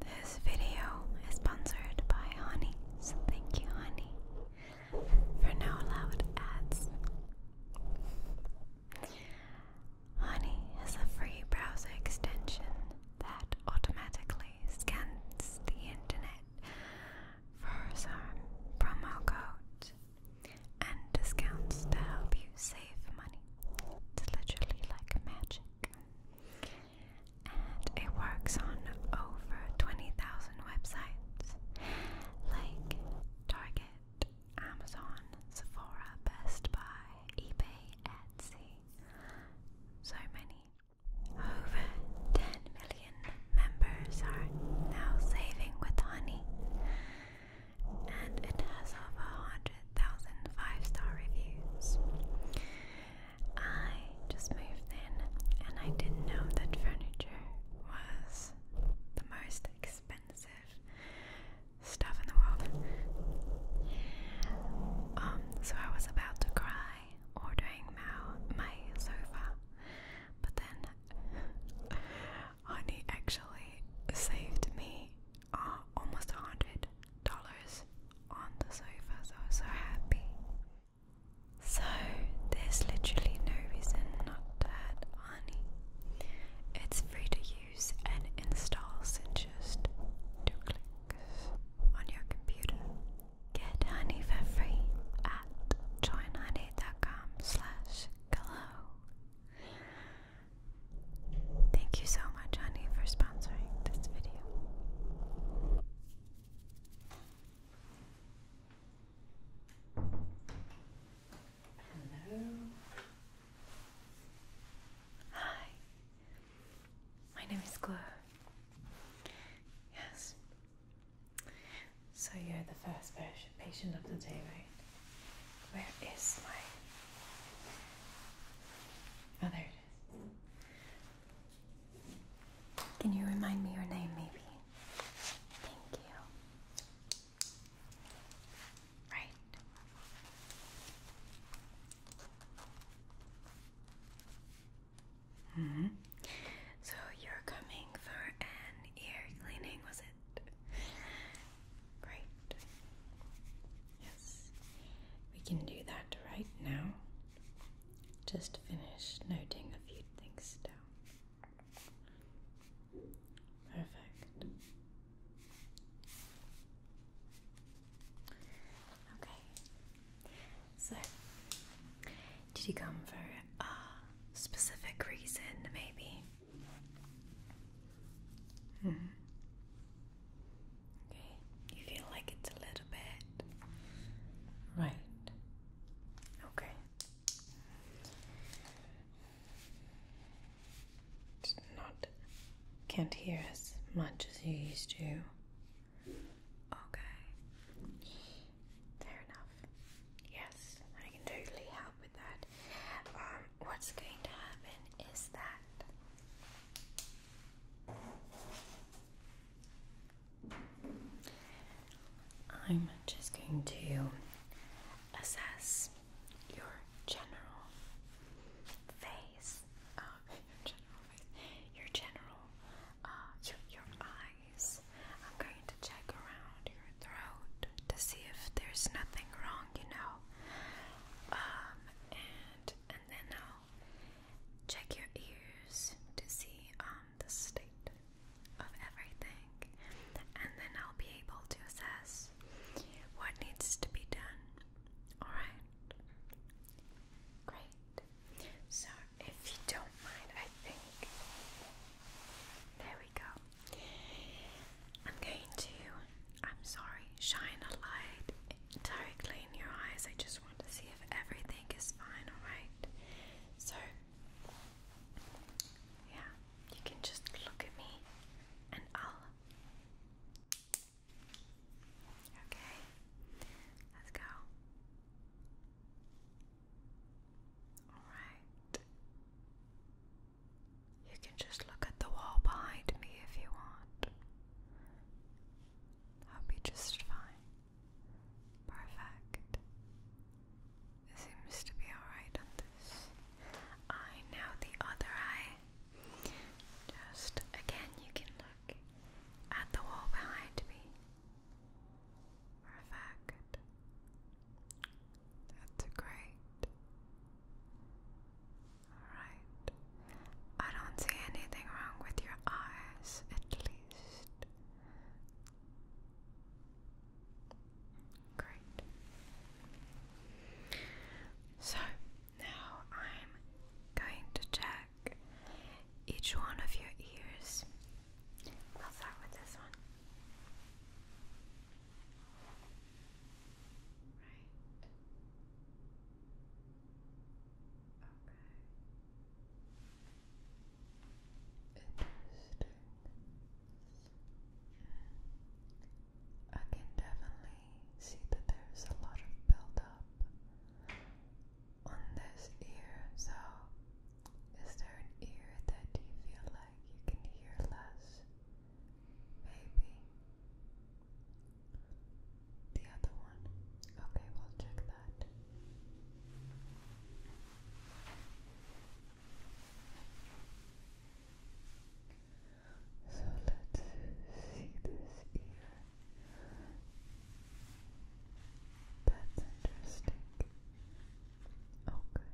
This video is sponsored by Honey, so thank you, Honey, for no loud ads. Honey is a free browser extension that automatically scans the internet for some promo code and discounts to help you save money. It's literally like magic. And it works on over 20,000 websites like Target, Amazon, Sephora, Best Buy, eBay, Etsy, so many. Over 10 million members are now saving with Honey and it has over 100,000 star reviews. I just moved in and I didn't know that furniture was the most expensive stuff in the world. Um, so I was about to cry ordering my, my sofa, but then Honey actually saved me uh, almost a hundred dollars on the sofa, so I was so happy. So there's literally no reason not to add honey. It's free to use and installs in just two clicks on your computer. Get honey for free at joinhoney.com glow Thank you so much, honey, for sponsoring this video. Hello. Hi. My name is Glow. Yes. So you're the first patient of the day, right? Where is my. Oh, there it is. Can you remind me your name, maybe? Thank you. Right. Mm hmm So you're coming for an ear cleaning, was it? Great. Yes, we can do that right now. Just finish noting a few things down. Perfect. Okay, so did you come for a specific reason, maybe? -hmm. Okay, you feel like it's a little bit right. Okay, it's not can't hear as much as you used to. Okay, fair enough. Yes, I can totally help help with that. Um, what's going to happen is that I'm just going to assess your general face, uh, your general face, your general, uh, your, your eyes. I'm going to check around your throat to see if there's nothing wrong, you know. Um, and then I'll check your ears to see um the state of everything, and then I'll be able to assess what needs to be done. All right. Great. So, if you don't mind, I think there we go. I'm going to, I'm sorry, shine a light directly in your eyes. I just want to see if everything is fine, alright? So, yeah, you can just look at me and I'll. Okay, let's go. Alright. You can just look at the wall behind me if you want. I'll be just fine. Perfect. seems to be alright on this eye. Now the other eye. Just again, you can look at the wall behind me. Perfect. That's great. Alright. I don't see anything wrong with your eyes, at least. Great. So now I'm going to check each one of your ears. I'll with this one. Right. Okay. Interesting. I can definitely see that there's a lot of buildup on this ear. So, is there an ear that you feel like you can hear less? Maybe. The other one. Okay, we'll check that. So let's see this ear. That's interesting. Okay.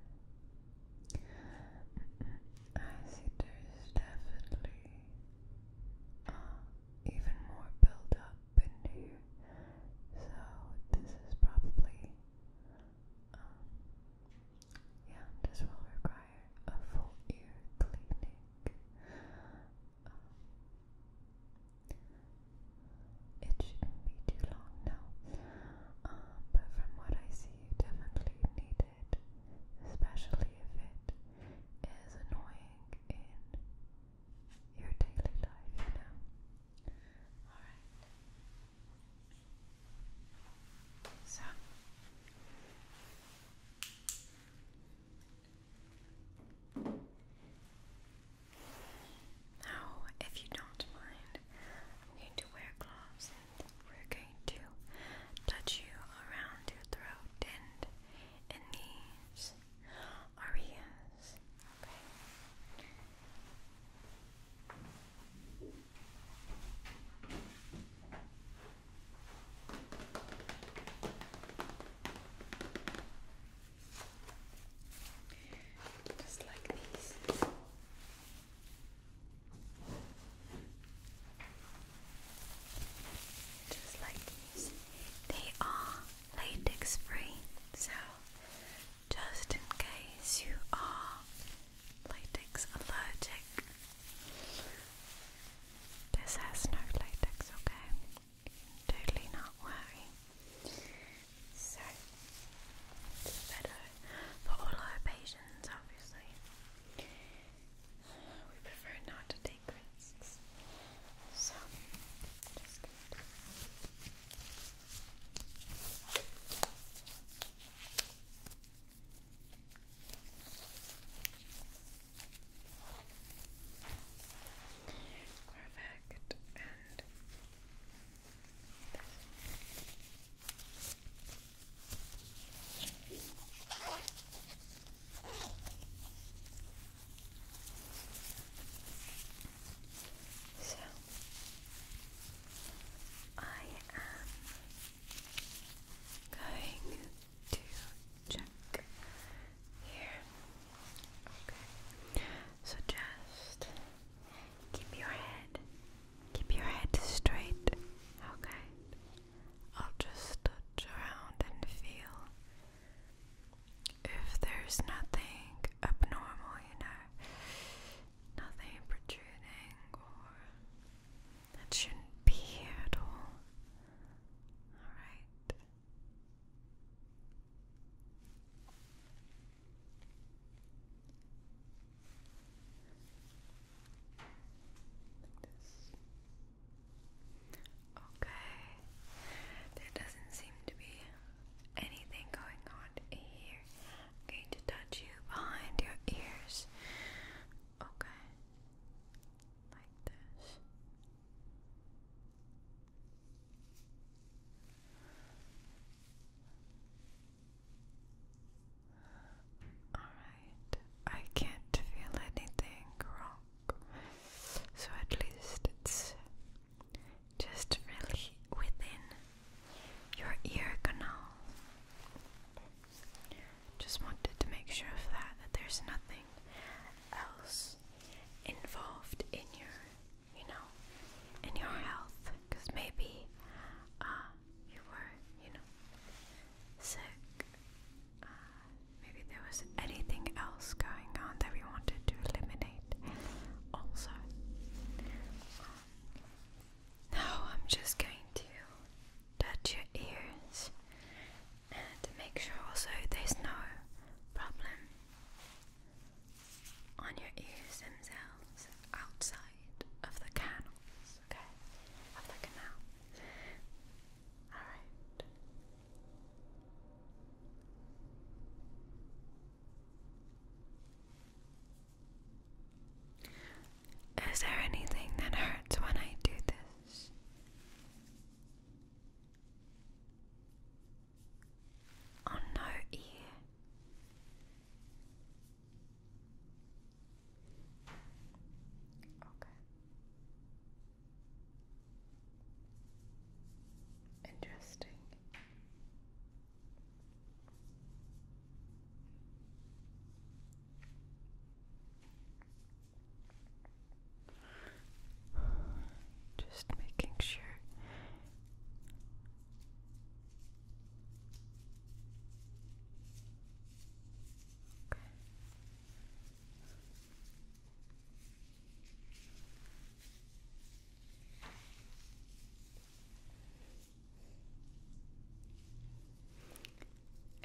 I there is definitely even more build in here, so this is probably, um, yeah, this will require a full ear cleaning. Um, it shouldn't be too long now, um, but from what I see frequency you definitely need it, especially if it is annoying in your daily life, you Alright. So now, if you don't mind, I'm going to wear gloves we're going to touch you around your throat and in these areas. Just like these. Just like these. They are latex free, so just in case you are latex allergic, this has no latex, okay? Totally not worry. So, better for all our patients, obviously. We prefer not to take risks. So, Perfect. And so I am going to check here. Okay. So just keep your head keep your head straight. Okay. I'll just touch around and feel if there's nothing abnormal, you know, nothing protruding or that shouldn't be here at all. Alright. Like Okay, there doesn't seem to be anything going on here. going to touch you behind your ears. Okay, like this. Alright, I can't feel anything wrong, so at least it's just really within your ear canal. Just wanted to make sure of that, that there's nothing else involved in your, you know, in your health, because maybe uh, you were, you know, sick. Uh, maybe there was anything else going on that we wanted to eliminate. Also, um, now I'm just going to touch your ears and make sure also there's no problem on your ears themselves outside of the canals. Okay, I'm looking now. All right. Is there anything that hurts when I do this? On no ear. Okay. Interesting. Just making sure.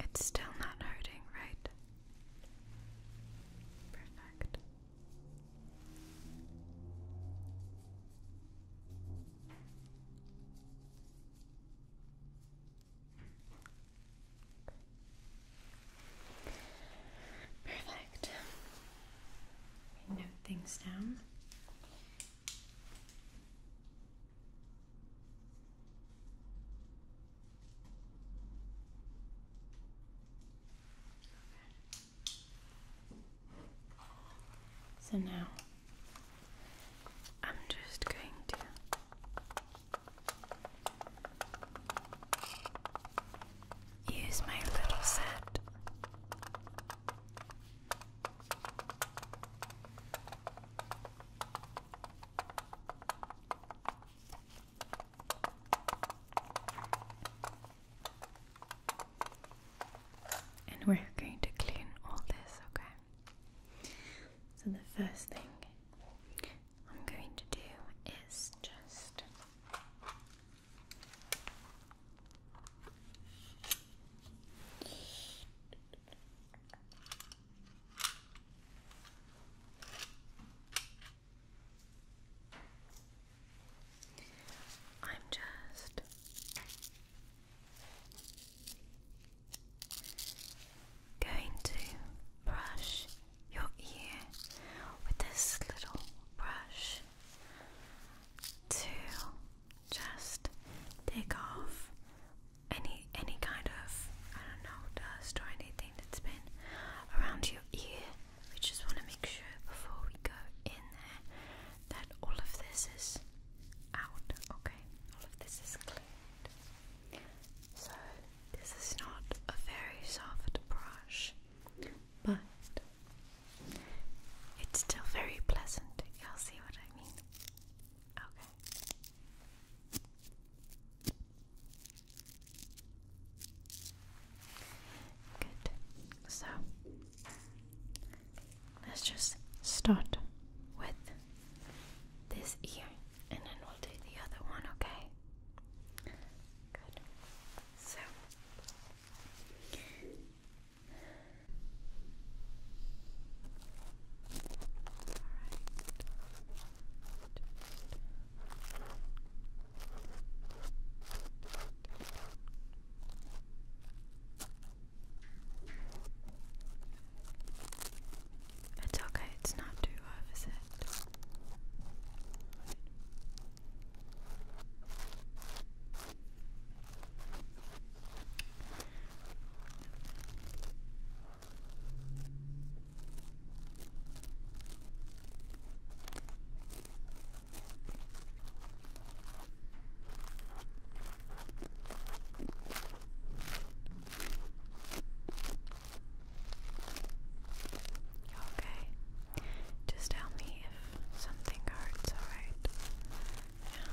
It's still not hurting, right? Perfect. Perfect. note things down. So now I'm just going to use my little set. And we're going to clean all this, okay? So, the first thing I'm going to do is just I'm just Going to brush your ear with this little brush to just take off any any kind of I don't know dust or anything that's been around your ear. We just want to make sure before we go in there that all of this is out. Okay, all of this is cleaned. So, this is not a very soft brush, but it's still very pleasant. You'll see what I mean. Okay. Good. So, let's just start with this ear and then we'll do the other one, okay? Good. So Alright. It's okay, it's not too rough, it? You okay? Just tell me if something hurts, alright? Yeah.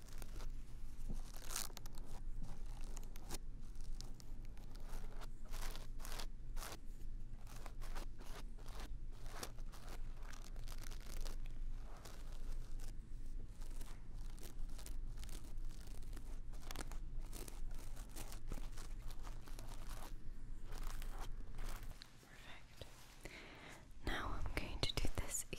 Perfect. Now I'm going to do this ear.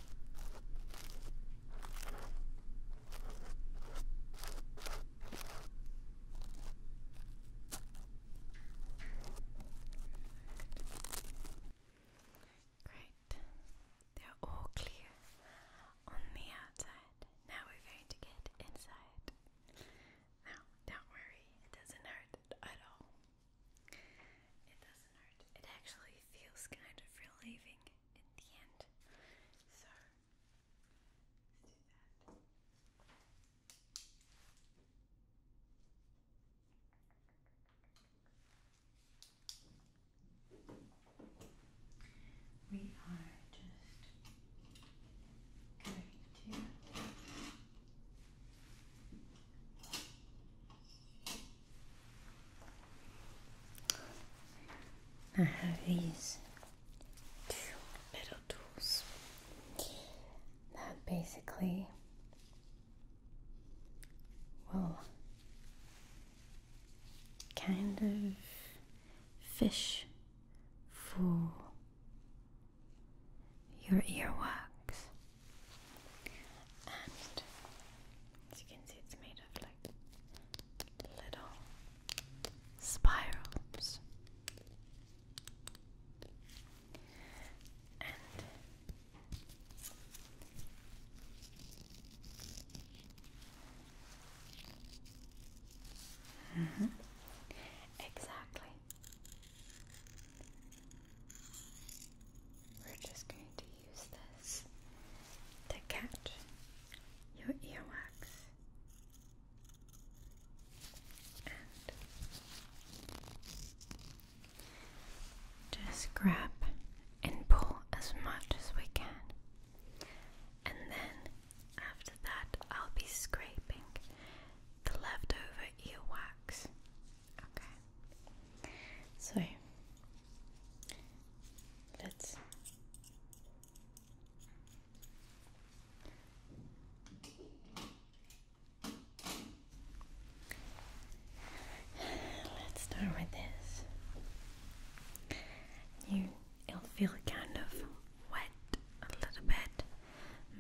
Great. They're all clear on the outside. Now we're going to get inside. Now, don't worry, it doesn't hurt at all. It doesn't hurt. It actually feels kind of relieving in the end. So, let's do that. We are just going to I have these two little tools that basically will kind of fish for your earwax. And as you can see, it's made of like little spirals. And Mm -hmm. Exactly. We're just going to use this to catch your earwax and just grab and pull as much as we can. And then after that, I'll be scraping the leftover earwax Okay. So let's Let's start with this. You it'll feel kind of wet a little bit,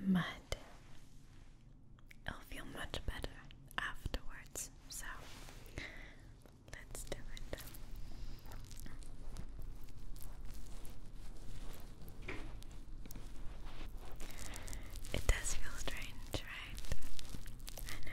but It'll feel much better afterwards. So let's do it. It does feel strange, right? I know.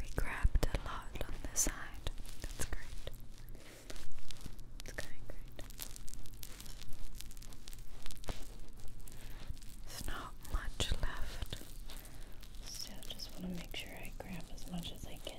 We grabbed a lot on the side. That's great. It's going great. There's not much left. Still just want to make sure I grab as much as I can.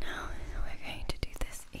Now we're going to do this ear.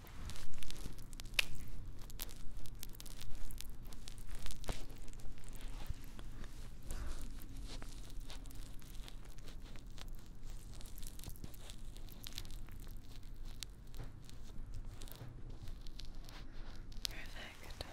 Perfect. All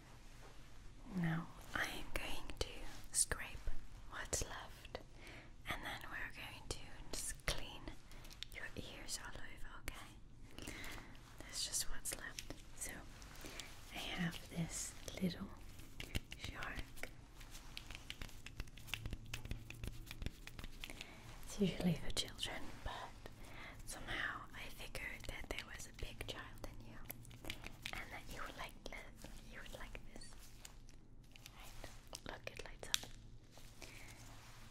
Now I am going to scrape what's left and then we're going to clean your ears all over, okay? That's just what's left. So I have this little shark. It's usually for children, but somehow I figured that there was a big child in you, and that you would like this. You would like this. Right? Look, it lights up.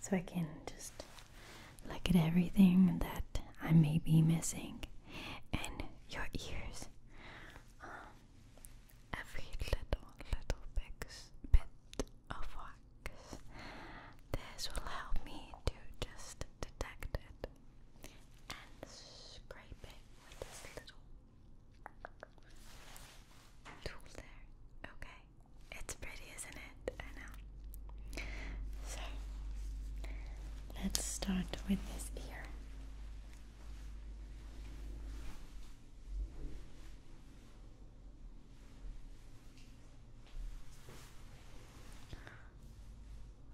So I can just look at everything that I may be missing, and your ears. Um, every little little big bit of wax. This will help me to just detect it and scrape with this little tool there. Okay, it's pretty, isn't it? I know. So, let's start with this ear.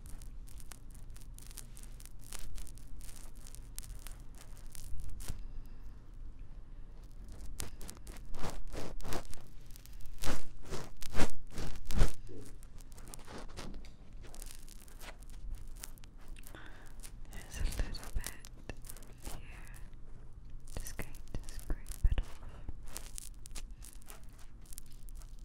There's a little bit here. Just going to scrape it off.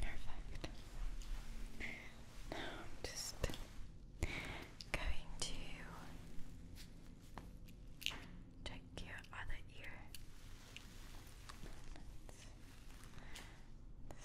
Perfect. Now I'm just going to Check your other ear. let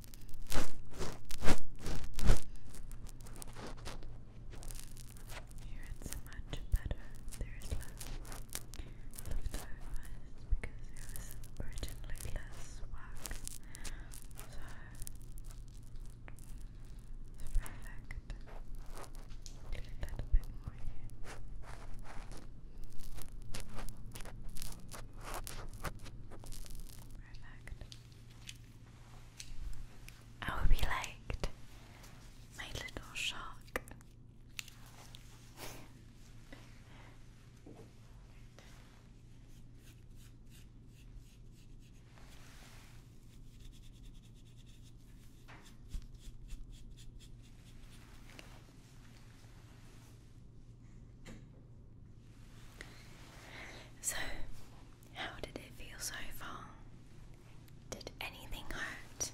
Here it's much better. There is less leftover because there originally less wax. So it's perfect. A little bit more I will be like my little shark. So, how did it feel so far? Did anything hurt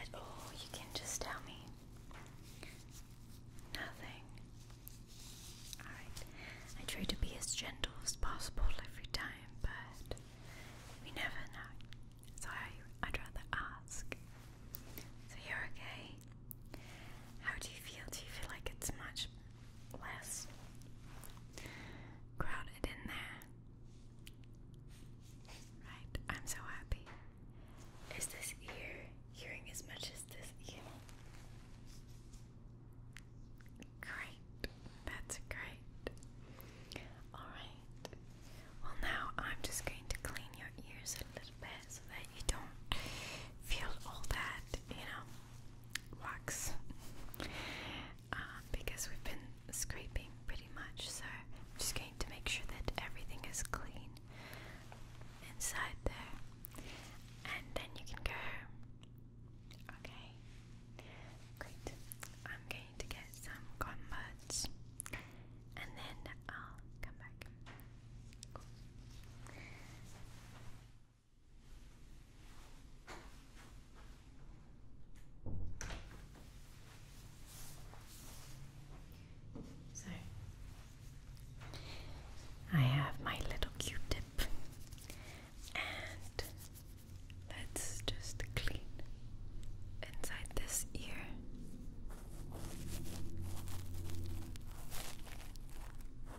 at all? You can just tell me. Nothing. Alright, I try to be as gentle as possible every time, but we never know. So I, would rather ask. So you're okay? How do you feel? Do you feel like it's much less crowded in there? Right. I'm so happy. Is this ear hearing as much as this ear? Great. That's great. Alright. Well, now I'm just going to clean your ears a little bit so that you don't feel all that, you know, wax. Uh, because we've been scraping pretty much, so I'm just going to make sure that everything is clean inside there, and then you can go Okay, great. I'm going to get some converts, and then I'll come back. Cool. So I have my little Q-tip and let's just clean inside this ear.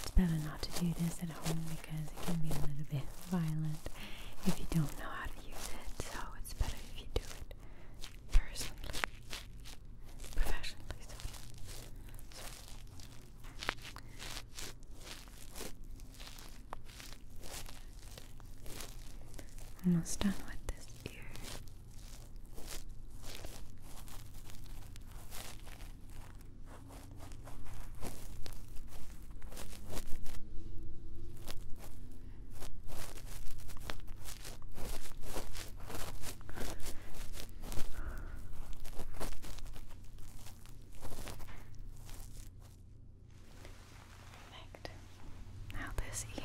It's better not to do this at home because it can be a little bit violent if you don't know how to use it. So it's better if you do it personally, professionally. almost done with this ear. Perfect. Now this ear.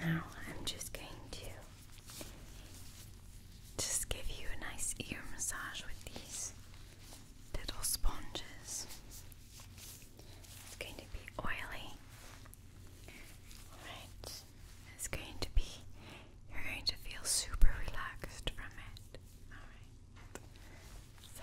Now I'm just going to just give you a nice ear massage with these little sponges. It's going to be oily Alright, it's going to be, you're going to feel super relaxed from it. Alright, so.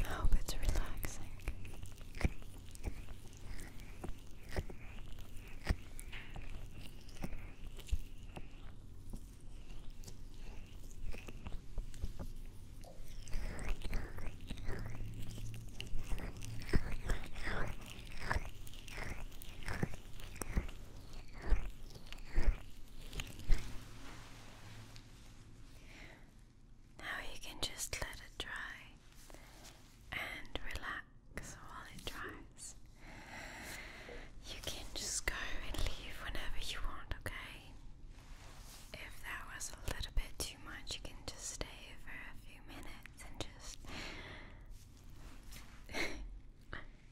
I hope it's relaxing. Now you can just let it dry and relax while it dries. You can just go and leave whenever you want, okay? If that was a little bit too much, you can just stay for a few minutes and just,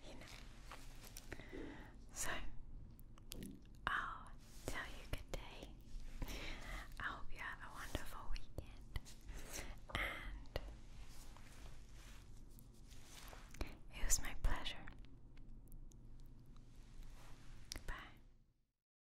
you know. So, I'll tell you good day. I hope you have a wonderful weekend. And it was my pleasure. Bye.